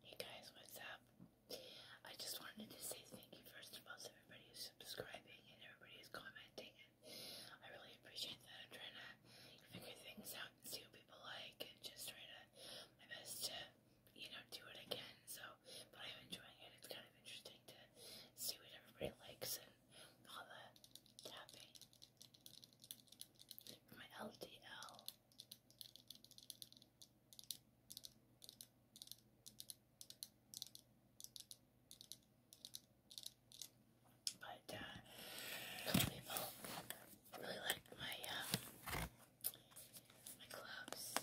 Hey guys, what's up? I just wanted to say thank you first of all to everybody who's subscribing and everybody who's commenting. I really appreciate that. I'm trying to figure things out and see what people like and just try to my best to, you know, do it again. So, but I'm enjoying it. It's kind of interesting to see what everybody likes and all the tapping my LDL. But some uh, people really like my uh, my gloves, so.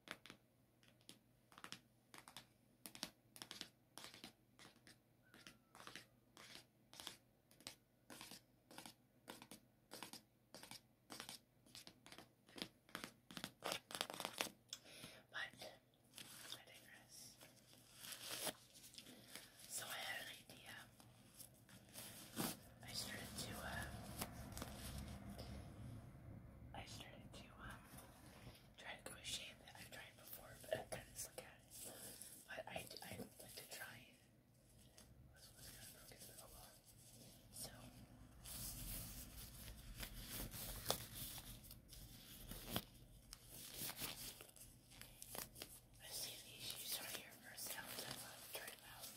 But I So I had an idea. I started to uh, I started to um try to crochet that I've tried before, but i kind of look at it. But I I would like to try it. Oh so. I see these shoes right here for sounds I love to them out.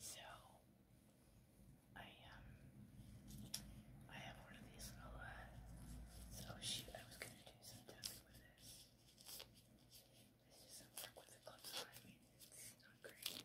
So I um I have one of these little uh, so I was gonna do some tapping with this. This doesn't work with the gloves I mean it's not great.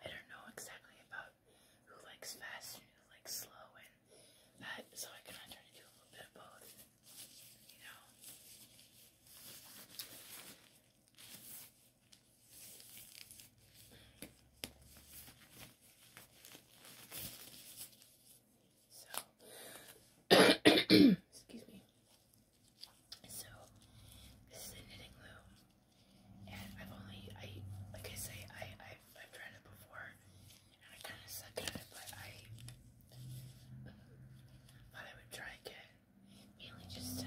I don't know exactly about who likes fast and who likes slow and so I kind of try to do a little bit of both, you know. So, excuse me. So, this is a knitting loom, and I've only, I, like I say, I, i I've tried it before, and I kind of suck at it, but I um, thought I would try again mainly just to,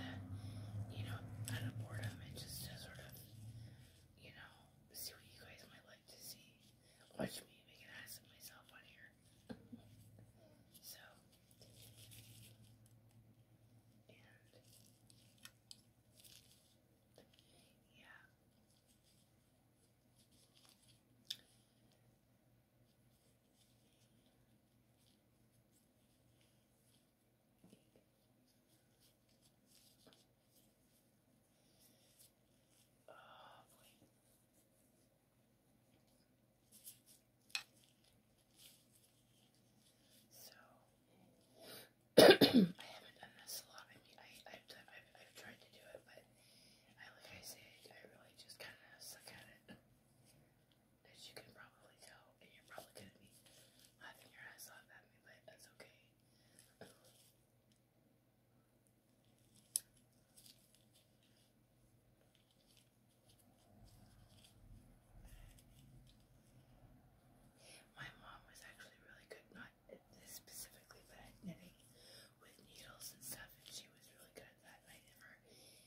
you know, out of boredom and just to sort of, you know, see what you guys might like to see. Watch me make an ass of myself on here. so, and, yeah. Oh, boy. So, I haven't done this a lot. I mean, I, I've, I've, tried to do it, but like I said, I really just kind of suck at it as you can probably tell, and you're probably gonna be laughing your ass off at me, but that's okay. My mom was actually really good, not this specifically, but at knitting with needles and stuff, and she was really good at that,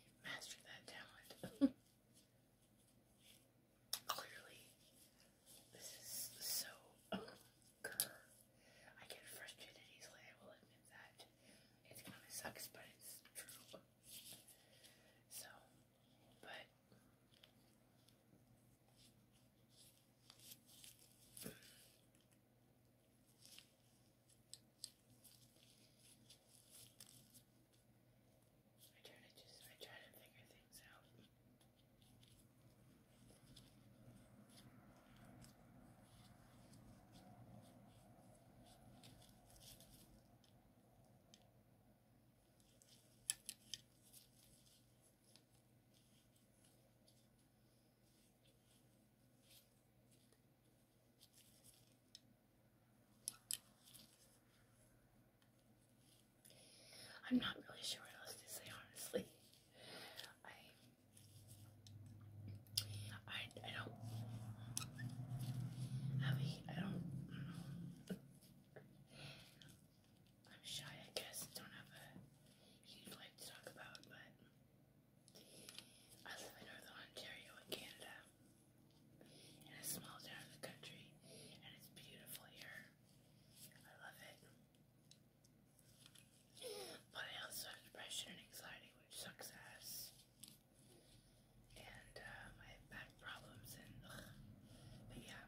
you that talent. Clearly, this is so um, grr. I get frustrated easily, I will admit that. It kind of sucks, but it's true. So, but. I try to just I try to figure things out. I'm not really sure what else to say, honestly. I, I, I don't have a, I don't, I'm shy, I guess. Don't have a huge life to talk about, but I live in Northern Ontario in Canada, in a small town in the country, and it's beautiful here. I love it. But I also have depression and anxiety, which sucks ass. And uh, I have back problems and But yeah,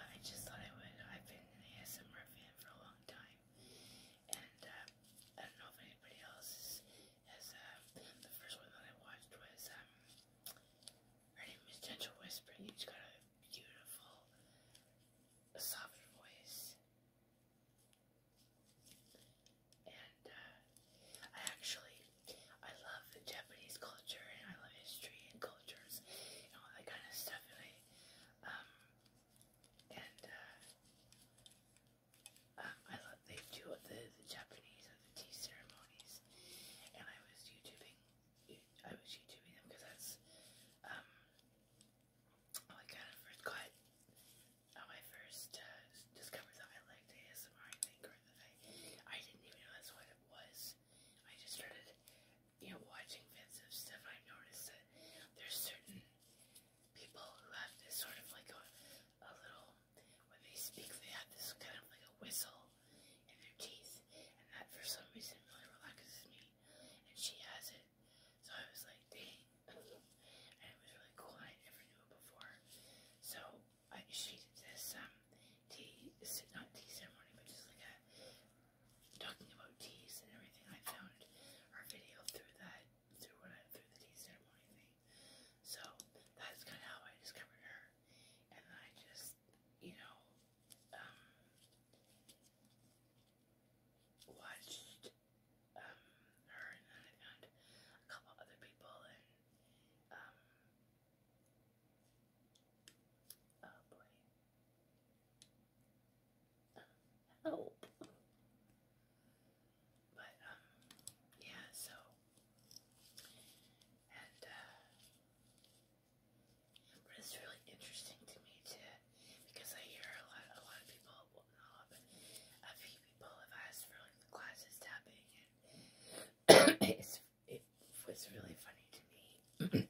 but I just thought I would. I've been an ASMR fan for a long time, and uh, I don't know if anybody else has, um, the first one that I watched was, um, her name is Gentle Whisper, she's got a beautiful, a soft voice, and, uh, I actually, I love Japanese culture, and I love history and cultures, and all that kind of stuff, and I, and uh, um, I love they do the the Japanese and the tea ceremonies, and I was YouTubing, I was YouTubing them because that's um oh, I kind of first got how oh, first uh, discovered that I liked ASMR. I think or that I I didn't even know that's what it was. I just started you know watching bits of stuff. I noticed that there's certain people who have this sort of like a, a little, when they speak, they have this kind of like a whistle in their teeth, and that for some reason really relaxes me, and she has it. So I was like, dang. and it was really cool, I never knew it before. So I, she did this um, tea, this, not tea ceremony, but just like a, talking about teas and everything. I found her video through that through what I through the tea ceremony thing. So that's kind of how I discovered her, and I just, you know, um, watched um, her, and then I found a couple other people, and um, oh boy, help. But, um, yeah, so, and, uh, but it's really interesting to me to, because I hear a lot, a lot of people, well, not a few people have asked for, like, the glasses tapping, and it's, it was really funny to me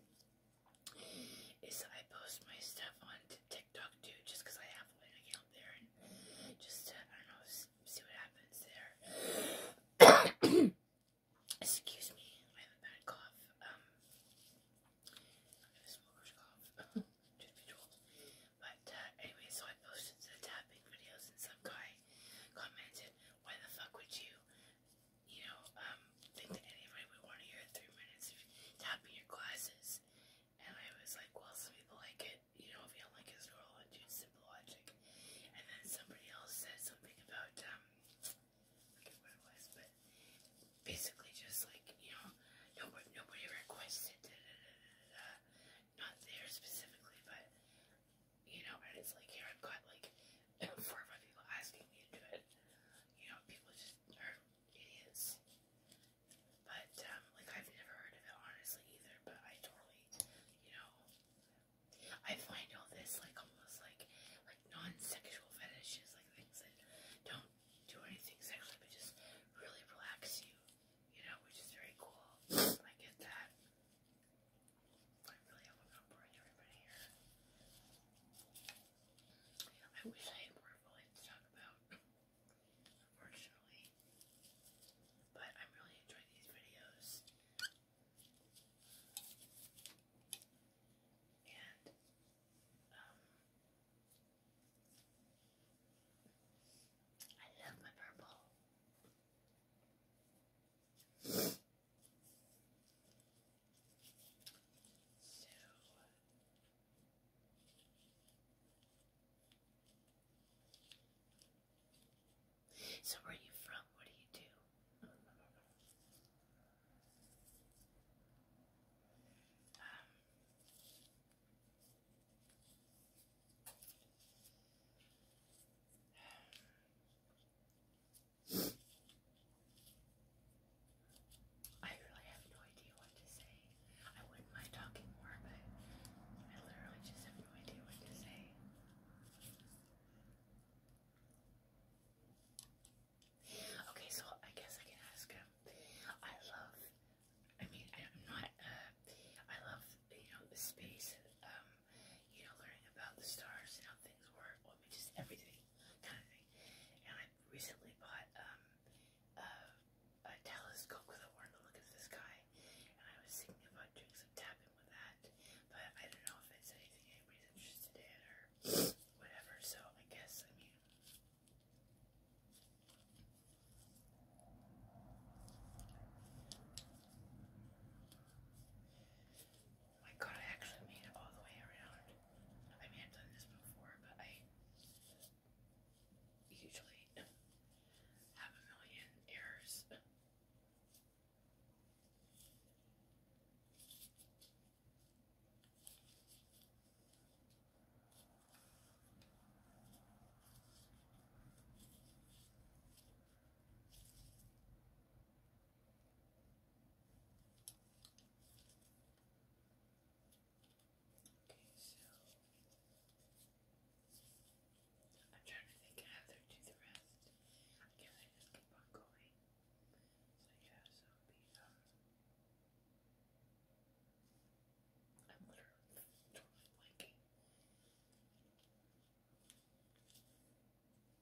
is I post my stuff on TikTok too, just I have an account there, and just I don't know, see what happens there. Excuse me, I have a bad cough. Um, I have a smoker's cough, just But uh, anyway, so I posted the tapping videos, and some guy commented, "Why the fuck would you, you know, um." think that anybody would want to hear it three minutes if your classes. And I was like, well, some people like it, you don't like it's normal and do simple And then somebody else said something about, um, forget what it was, but basically just like, you know, nobody, nobody requested Not there specifically, but, you know, and it's like, here I've got like four or five people asking me to do it. You know, people just are idiots. But, um, like, I've never heard of it, honestly, either, but I totally, you know, I find all this, like, almost, like, like, non-sexual fetishes, like, things that don't do anything sexually, but just really relax you, you know, which is very cool. I get that. I am not boring everybody here. I wish I had more volume to talk about, unfortunately. But I'm really enjoying these videos. And, um, I love my purple. So where are you from? What do you do? Um, I really have no idea what to say. I wouldn't mind talking more, but I literally just have no idea what to say. Okay, so I guess I can ask him. I love, I mean, I'm not, uh, I love, you know, the space, um, you know, learning about the stars and how things work, I mean, just everything kind of thing. And I recently bought um, a, telescope because I to look at the sky, and I was thinking about doing some tapping with that, but I don't know if it's anything anybody's interested in or whatever, so I guess, I mean, my god, I actually made it all the way around. I mean, I've done this before, but I usually have a million errors. Okay, so I'm trying to think how they do the rest. I I just keep on going. So yeah, so it'll be I'm literally totally blanking.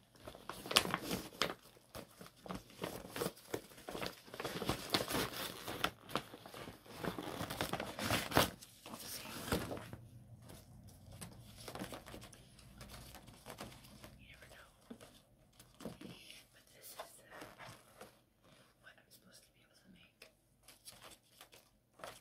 Let's see. You never know. But this is uh, what I'm supposed to be able to make.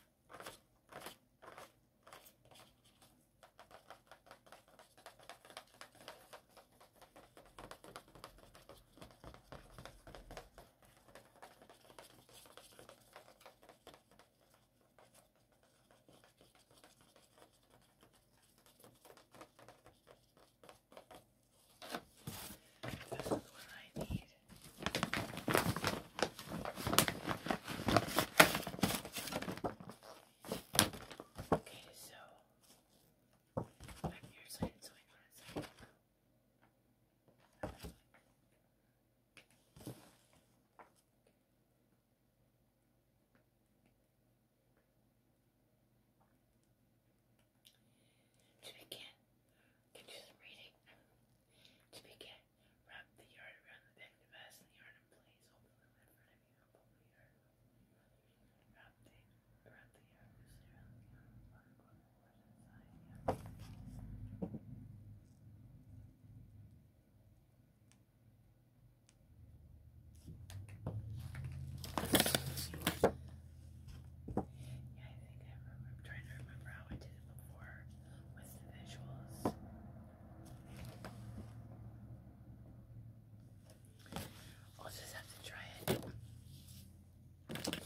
This is what I need. Okay, so I'm so hang on a second. To begin, can do some To begin, Wrap the yard around the back peg to and the yard in place. over the front of an and the yard. Wrap the, wrap the yard around the yard. Yeah, I think I remember, I'm trying to remember how I did it before with the visuals. I'll just have to try it.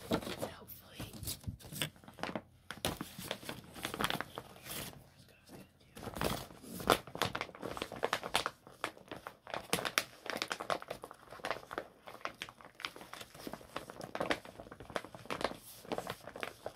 Oh, and hopefully,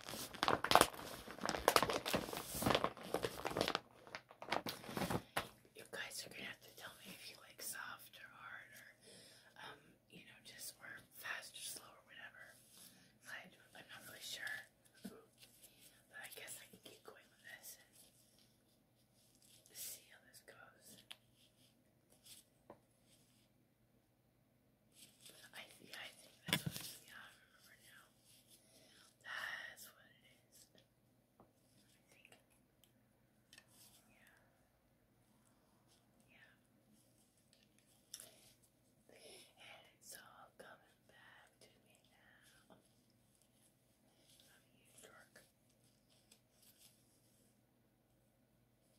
You guys are gonna have to tell me if you like soft or hard or, um, you know, just or fast or slow or whatever. I, am not really sure, but I guess I can keep going with this see how this goes. I see, I think that's what it is. Yeah, I remember now. That's what it is. I think. Yeah. Yeah. And it's all coming back to me now. I'm you, dork.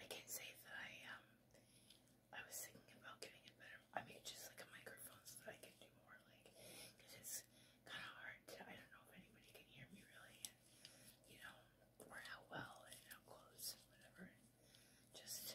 I can't say that I um I was thinking about getting a better I mean just like a microphone so that I can do more like because it's kind of hard I don't know if anybody can hear me really and you know or how well and how close whatever just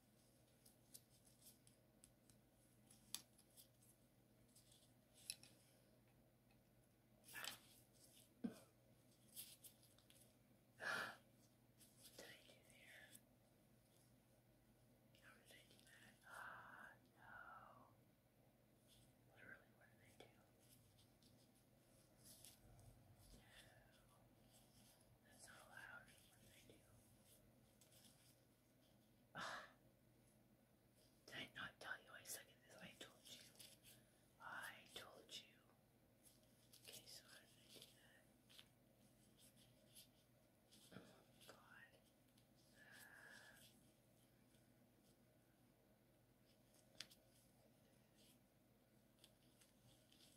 What did I do there? How did I do Ah, no. Literally, what did I do? That's ah. did I not tell you I suck at this? I told you. I told you. Okay, so how did that? Oh god. I really have no idea what I'm doing.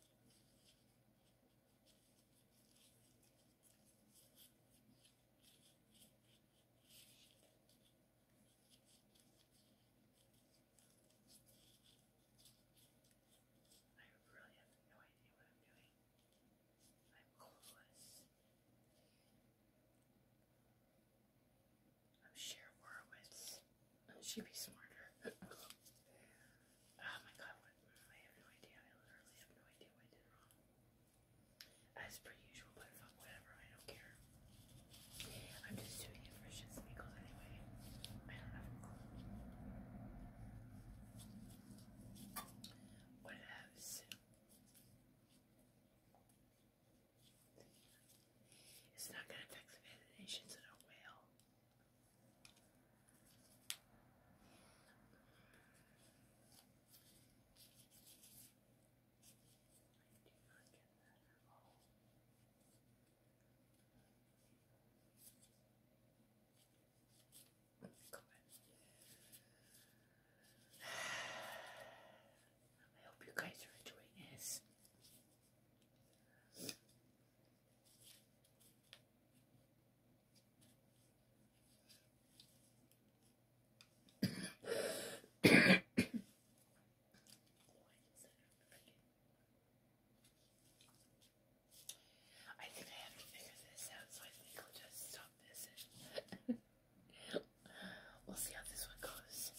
I'm clueless. I'm Cher Horowitz. She'd be smarter. oh my god, what? I have no idea. I literally have no idea what I did wrong. As per usual, whatever, I don't care. I'm just doing it for shits and giggles anyway. I don't have a clue. What else? It's not gonna affect the nations in a whale. I hope you guys are enjoying this. I think I have to figure this out, so I think I'll just stop this. we'll see how this one goes.